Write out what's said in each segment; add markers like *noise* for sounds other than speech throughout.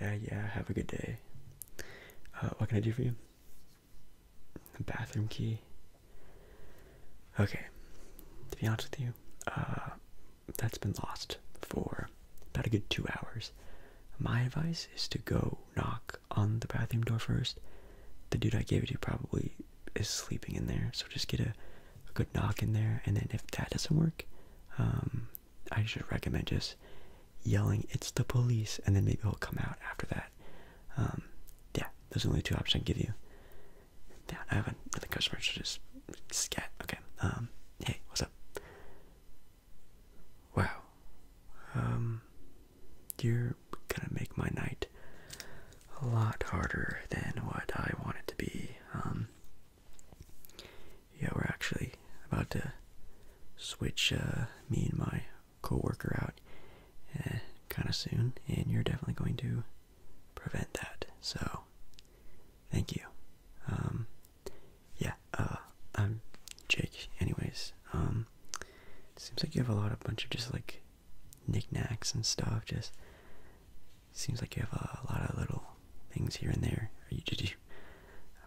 Yeah, yeah, have a good day. Uh, what can I do for you? A bathroom key. Okay, to be honest with you, uh, that's been lost for about a good two hours. My advice is to go knock on the bathroom door first. The dude I gave it to probably is sleeping in there, so just get a, a good knock in there, and then if that doesn't work, um, I should recommend just yelling, "It's the police!" and then maybe it'll come out after that. Um, yeah, those are the only two options I can give you. Yeah, I have not another customer to just scat. Okay. Um, hey, what's up? Wow. Um, you're gonna make my night a lot harder than what I want it to be. Yeah, we're actually about to switch uh, me and my coworker out eh, kind of soon, and you're definitely going to prevent that. So, thank you. Um, yeah, uh, I'm Jake. Anyways, um, seems like you have a lot of bunch of just like knickknacks and stuff. Just seems like you have a lot of little things here and there. did you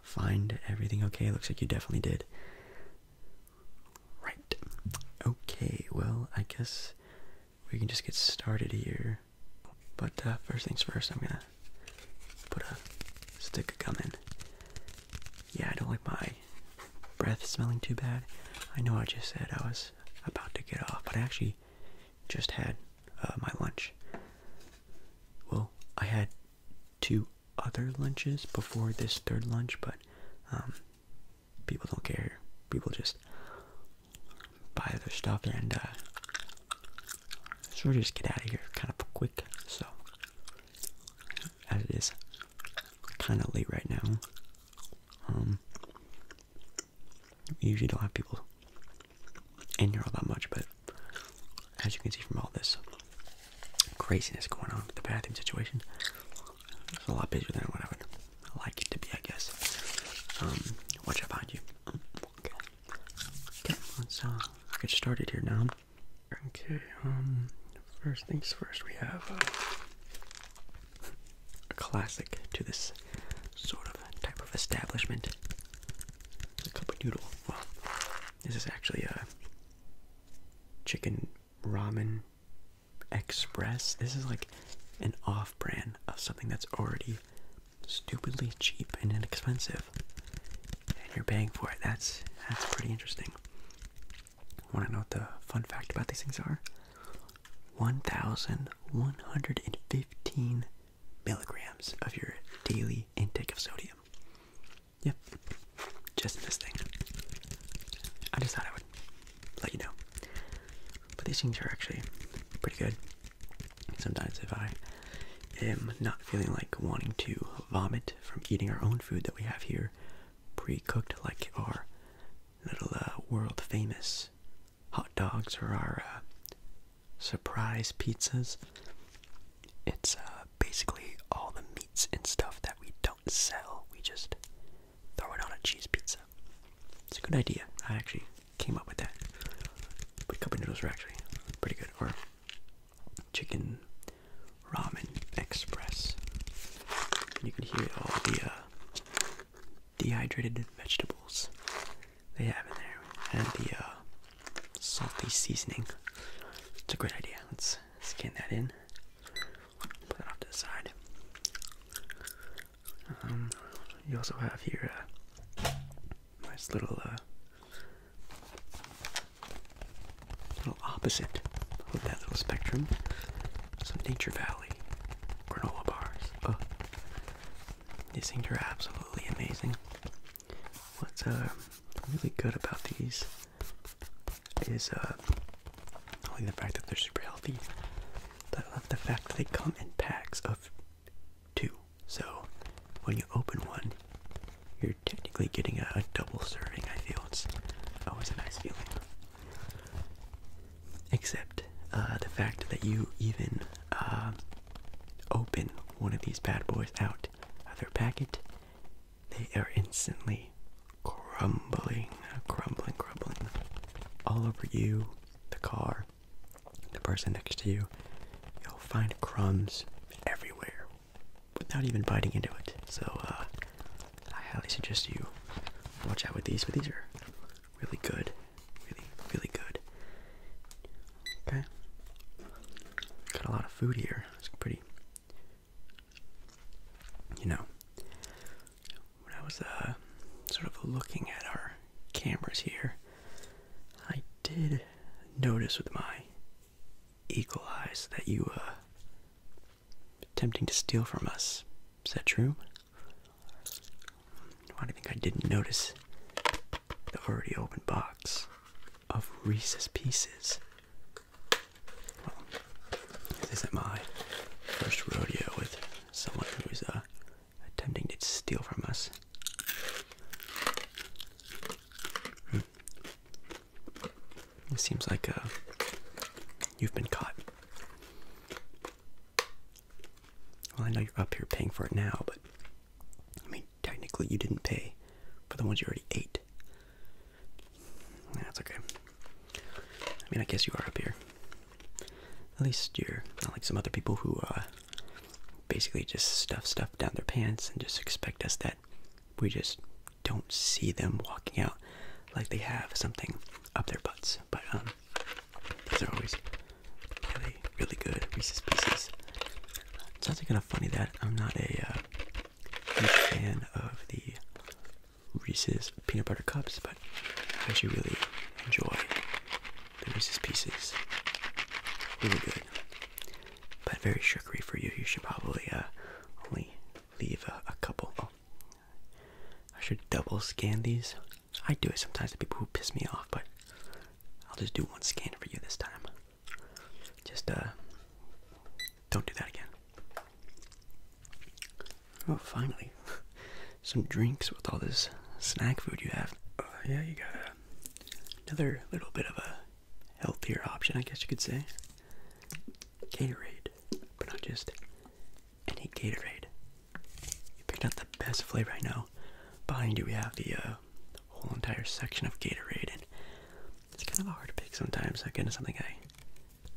find everything okay? Looks like you definitely did. Right. Okay, well, I guess we can just get started here. But uh, first things first, I'm gonna put a stick of gum in. Yeah, I don't like my breath smelling too bad. I know I just said I was about to get off, but I actually just had uh, my lunch. Well, I had two other lunches before this third lunch, but um, people don't care. People just buy their stuff and uh, sort of just get out of here kind of quick. So, as it is kind of late right now, um, we usually don't have people in all that much, but as you can see from all this craziness going on, the bathroom situation, it's a lot busier than what I would like it to be, I guess. Um, watch out behind you. Okay, okay let's uh, get started here now. Okay, um, first things first, we have uh, a classic to this sort of type of establishment. a cup of noodle. Well, this is actually a chicken ramen express. This is like an off brand of something that's already stupidly cheap and inexpensive. And you're paying for it. That's that's pretty interesting. Wanna know what the fun fact about these things are? 1,115 milligrams of your daily intake of sodium. Yep, just this thing. I just thought I would let you know. But these things are actually pretty good. Sometimes if I am not feeling like wanting to vomit from eating our own food that we have here, pre-cooked like our little uh, world famous hot dogs or our uh, surprise pizzas. It's uh, basically all the meats and stuff that we don't sell. We just throw it on a cheese pizza. It's a good idea. I actually came up with that. But cup noodles are actually pretty good. Or chicken ramen express. You can hear all the uh, dehydrated vegetables they have in there, and the uh, salty seasoning. It's a great idea. Let's scan that in. Put that off to the side. Um, you also have here uh, a nice little, uh, little opposite of that little spectrum. Some Nature Valley granola bars. Oh, these things are absolutely amazing. Let's uh, really good about these is uh, only the fact that they're super healthy, but I love the fact that they come in packs of two. So when you open one, you're technically getting a, double serving, I feel. It's always a nice feeling. Except uh, the fact that you even uh, open one of these bad boys out of their packet they are instantly crumbling, crumbling, crumbling all over you, the car, the person next to you. You'll find crumbs everywhere without even biting into it. So, uh, I highly suggest you watch out with these, but these are really good. Really, really good. Okay. Got a lot of food here. It's pretty. You know, when I was uh, sort of looking at our cameras here, I did notice with my eagle eyes that you uh, attempting to steal from us. Is that true? Why do you think I didn't notice the already open box of Reese's Pieces. Well, this isn't my first rodeo with someone who's uh, attempting to steal from us. Hmm. It seems like uh, you've been caught. Well, I know you're up here paying for it now, but I mean, technically you didn't pay for the ones you already ate. That's okay. I mean, I guess you are up here. At least you're not like some other people who uh, basically just stuff stuff down their pants and just expect us that we just don't see them walking out like they have something up their butts. But um, these are always really, really good pieces. Pieces. It's actually kind of funny that I'm not a uh, huge fan of the Reese's peanut butter cups, but I actually really enjoy the Reese's pieces. Really good, but very sugary for you. You should probably uh, only leave a, couple. Oh. I should double scan these. I do it sometimes to people who piss me off, but I'll just do one scan for you this time. Just uh, don't do that again. Oh, finally, *laughs* some drinks with all this snack food you have. Oh, yeah, you got uh, another little bit of a healthier option, I guess you could say. Gatorade, but not just any Gatorade. You picked out the best flavor I know. Behind you, we have the uh, whole entire section of Gatorade, it's kind of hard to pick sometimes. Again, it's something I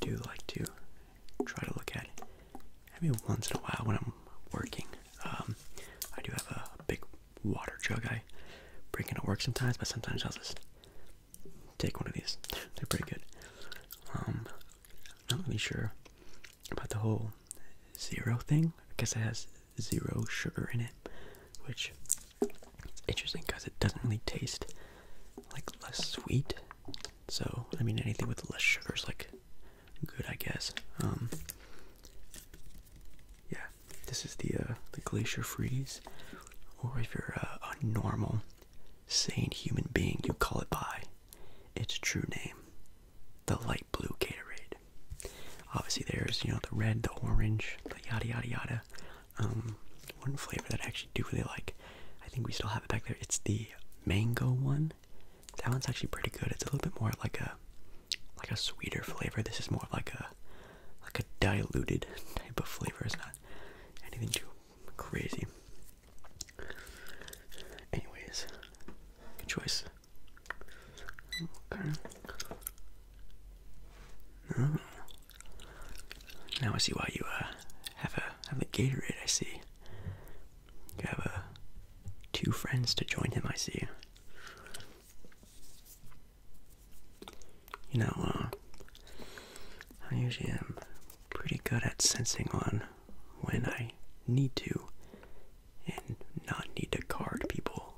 do like to try to look at. I once in a while when I'm working, um, I do have a big water jug I bring to work sometimes, but sometimes I'll just take one of these. They're pretty good. Um, I'm not really sure about the whole zero thing. I guess it has zero sugar in it which it's interesting because it doesn't really taste like less sweet. So I mean, anything with less sugar is like good, I guess. Um, yeah, this is the uh, the glacier freeze, or if you're a normal, sane human being, you call it by its true name, the light blue Gatorade. Obviously, there's you know the red, the orange, the yada yada yada. Um, one flavor that I actually do really like, I think we still have it back there. It's the mango one. That one's actually pretty good. It's a little bit more like a like a sweeter flavor. This is more like a like a diluted *laughs* type of flavor. It's not anything too crazy. Anyways, good choice. Okay. No, mm. Now I see why you uh, have a have a Gatorade. I see. You have uh, two friends to join him. I see. You know, uh, I usually am pretty good at sensing on when I need to and not need to card people.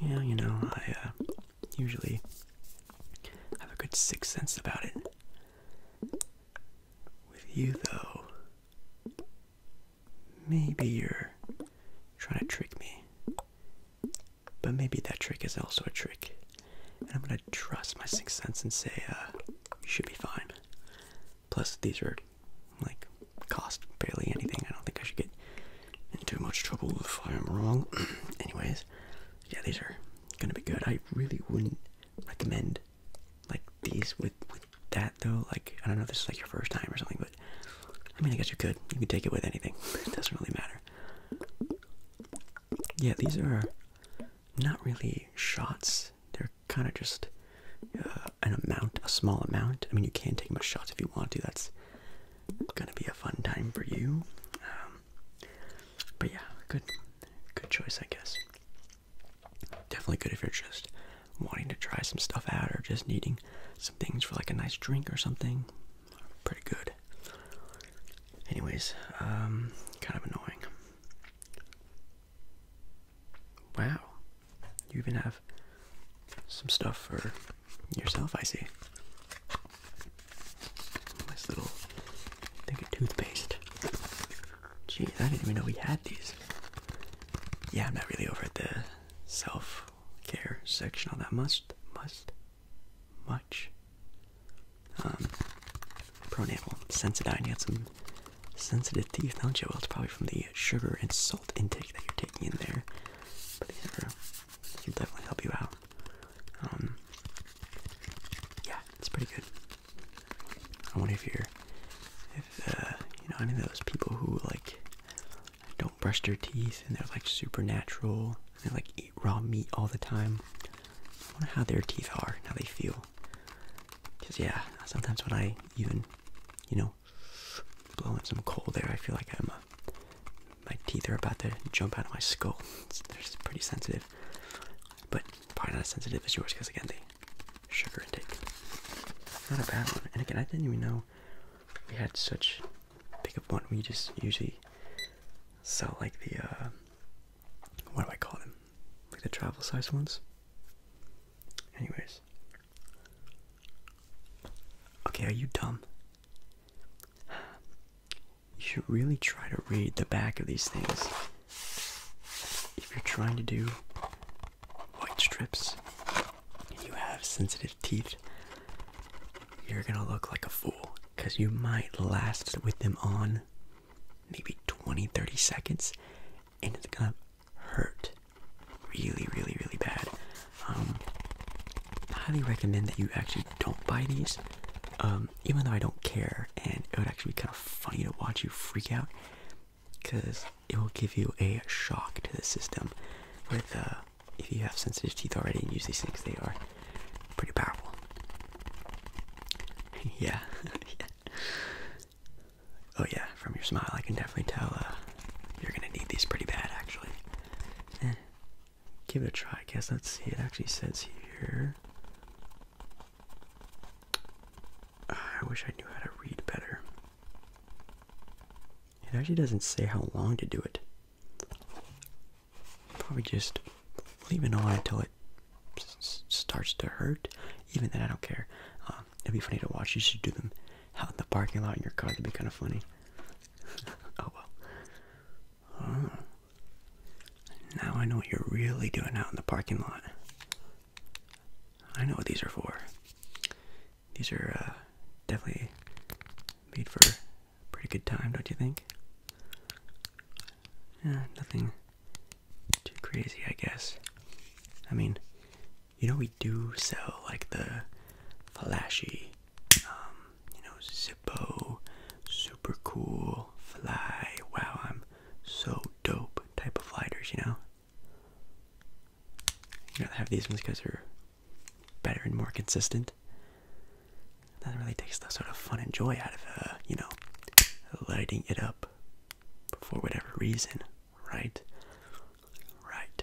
Yeah, you know, I uh, usually have a good sixth sense about it. With you, though, maybe you're trying to trick me. But maybe that trick is also a trick. And I'm gonna trust my sixth sense and say, uh, you should be fine. Plus, these are like cost barely anything. I don't think I should get in too much trouble if I am wrong. *clears throat* Anyways, yeah, these are gonna be good. I really wouldn't recommend like these with with that though. Like I don't know if this is like your first time or something, but I mean I guess you could. You can take it with anything. *laughs* It doesn't really matter. Yeah, these are not really shots. They're kind of just uh, an amount, a small amount. I mean, you can take them as shots if you want to. That's gonna be a fun time for you. Um, but yeah, good, good choice, I guess. Definitely good if you're just wanting to try some stuff out or just needing some things for like a nice drink or something. Pretty good. Anyways, um, kind of annoying. Wow, you even have some stuff for Yourself, I see. Nice little think a toothpaste. Gee, I didn't even know we had these. Yeah, I'm not really over at the self-care section all that must, Must much. Um pronatal Sensodyne, you got some sensitive teeth, don't you? Well it's probably from the sugar and salt intake that you're taking in there. But these can definitely help you out. Um, yeah, it's pretty good. I wonder if you're, if uh, you know any of those people who like don't brush their teeth and they're like supernatural they like eat raw meat all the time. I wonder how their teeth are and how they feel. Cause yeah, sometimes when I even, you know, blow in some cold air, I feel like I'm uh, my teeth are about to jump out of my skull. they're just pretty sensitive, but probably not as sensitive as yours because again, the sugar intake. Not a bad one. And again, I didn't even know we had such big of one. We just usually sell like the uh, what do I call them? Like the travel sized ones. Anyways. Okay, are you dumb? you should really try to read the back of these things if you're trying to do white strips you have sensitive teeth you're gonna look like a fool because you might last with them on maybe 20 30 seconds and it's gonna hurt really really really bad um, highly recommend that you actually don't buy these. Um, even though I don't care, and it would actually be kind of funny to watch you freak out, because it will give you a shock to the system. With uh, if you have sensitive teeth already and use these things, they are pretty powerful. *laughs* yeah. *laughs* Oh yeah, from your smile, I can definitely tell uh, you're gonna need these pretty bad, actually. Eh give it a try, I guess. Let's see, it actually says here. Ah, I wish I knew how to read better. It actually doesn't say how long to do it. Probably just leave it on until it starts to hurt. Even then, I don't care. Um, it'd be funny to watch. You should do them out in the parking lot in your car. it would be kind of funny. *laughs* oh well. Oh. Now I know what you're really doing out in the parking lot. I know what these are for. These are uh, definitely made for pretty good time, don't you think? Yeah, nothing too crazy, I guess. I mean, you know, we do sell like the flashy um, you know, Zippo, super cool, fly, wow, I'm so dope type of lighters, you know? You know, I have these ones because they're better and more consistent. That really takes the sort of fun and joy out of, uh, you know, lighting it up for whatever reason, right? Right.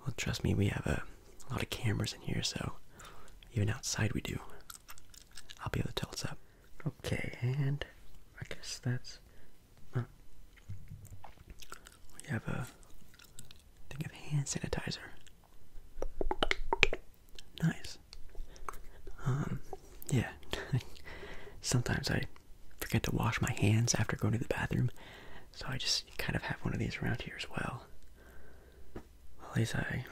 Well, trust me, we have a lot of cameras in here, so even outside we do. I'll be able to tell it's up. Okay, and I guess that's. We have a thing of hand sanitizer. Nice. Um, yeah. *laughs* Sometimes I forget to wash my hands after going to the bathroom, so I just kind of have one of these around here as well at least I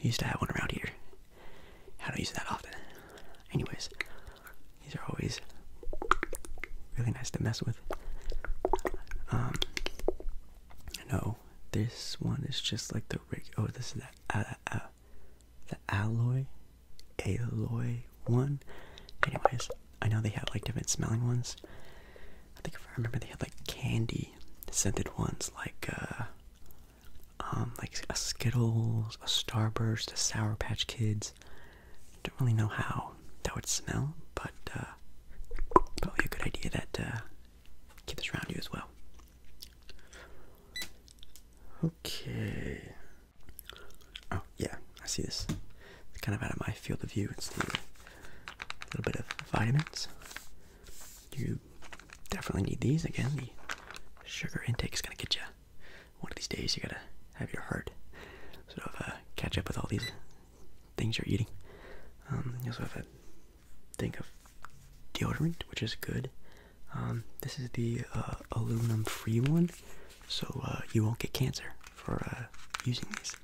used to have one around here. I don't use that often. Anyways, these are always really nice to mess with. Um, no, this one is just like the rig. Oh, this is the uh, uh, the alloy, alloy one. Anyways, I know they had like different smelling ones. I think if I remember, they had like candy scented ones, like uh, um, like a Skittles, a Starburst, a Sour Patch Kids. Don't really know how that would smell, but uh, probably a good idea that uh, keep this around you as well. Okay. Oh yeah, I see this. It's kind of out of my field of view. It's the a little bit of vitamins. You definitely need these. Again, the sugar intake is going to get you. One of these days, you got to have your heart sort of uh, catch up with all these things you're eating. Um, you also have a thing of deodorant, which is good. Um, this is the uh, aluminum free one, so uh, you won't get cancer for uh, using these.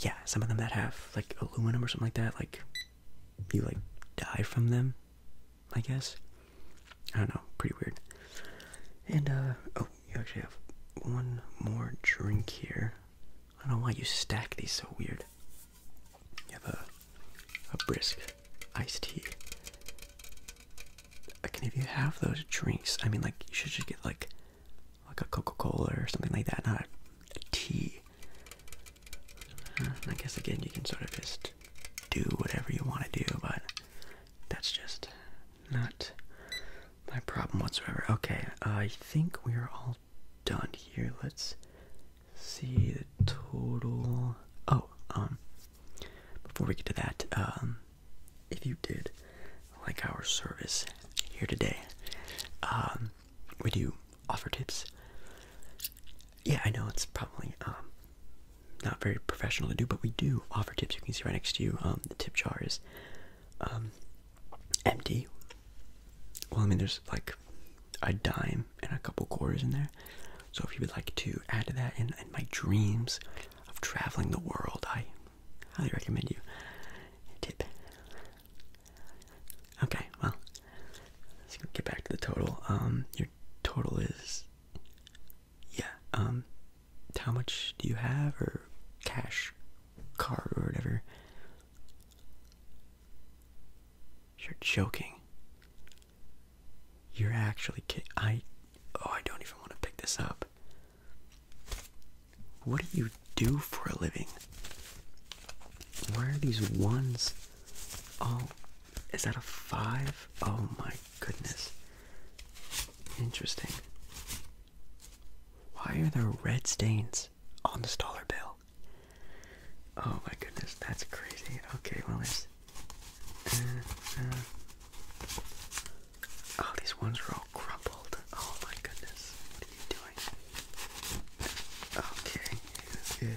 Yeah, some of them that have like aluminum or something like that, like you like die from them, I guess. I don't know, pretty weird. And uh oh, you actually have one more drink here. I don't know why you stack these so weird. You have a a brisk iced tea. I Can if you have those drinks, I mean like you should just get like like a Coca-Cola or something like that, not a, tea. I guess again, you can sort of just do whatever you want to do, but that's just not my problem whatsoever. Okay, I think we're all done here. Let's see the total. Oh, um, before we get to that, um, if you did like our service here today, um, we do offer tips. Yeah, I know it's probably um, not very professional to do, but we do offer tips. You can see right next to you, um, the tip jar is um, empty. Well, I mean, there's like a dime and a couple quarters in there. So if you would like to add to that, in, in my dreams of traveling the world, I Highly recommend you tip. Okay, well, let's get back to the total. Um, your total is, yeah. Um, how much do you have, or cash, card, or whatever? You're joking. You're actually I. Oh, I don't even want to pick this up. What do you do for a living? Why are these ones? Oh, is that a five? Oh my goodness. Interesting. Why are there red stains on the dollar bill? Oh my goodness, that's crazy. Okay, well, there's. Uh, uh, Oh, these ones are all crumpled. Oh my goodness going. Okay,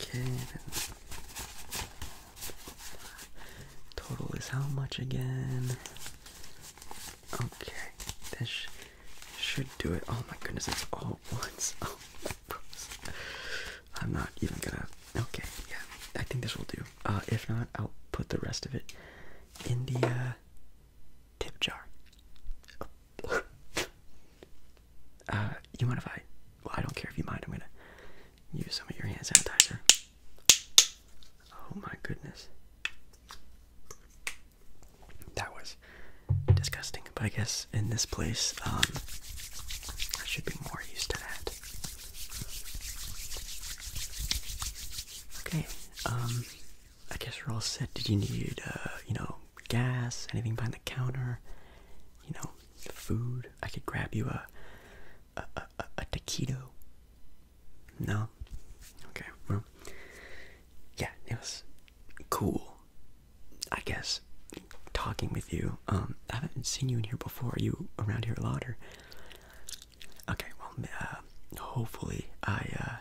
Okay, total is how much again? Okay, This should do it. Oh my goodness, it's all *laughs* ones. Oh I'm not even gonna. Okay, yeah, I think this will do. Uh, if not, I'll put the rest of it in the uh, tip jar. uh, you mind if I? Well, I don't care if you mind. I'm gonna use some of your hand sanitizer. Oh my goodness, that was disgusting. But I guess in this place, um, I should be more used to that. Okay. Um, I guess we're all set. Did you need, uh, you know, gas? Anything behind the counter? You know, food? I could grab you a a a, a taquito. No. Okay. yeah, it was cool. I guess talking with you. Um, I haven't seen you in here before. Are you around here a lot, or Okay, well, uh, hopefully I uh,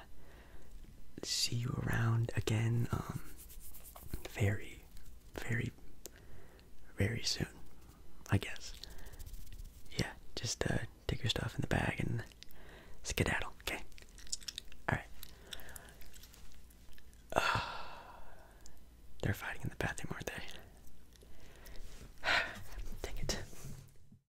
see you around again um, very, very, very soon, I guess. Yeah, just uh, take your stuff in the bag and skedaddle, okay? Alright. Uh, *sighs* they're fighting in the bathroom, aren't they? *sighs* Dang it.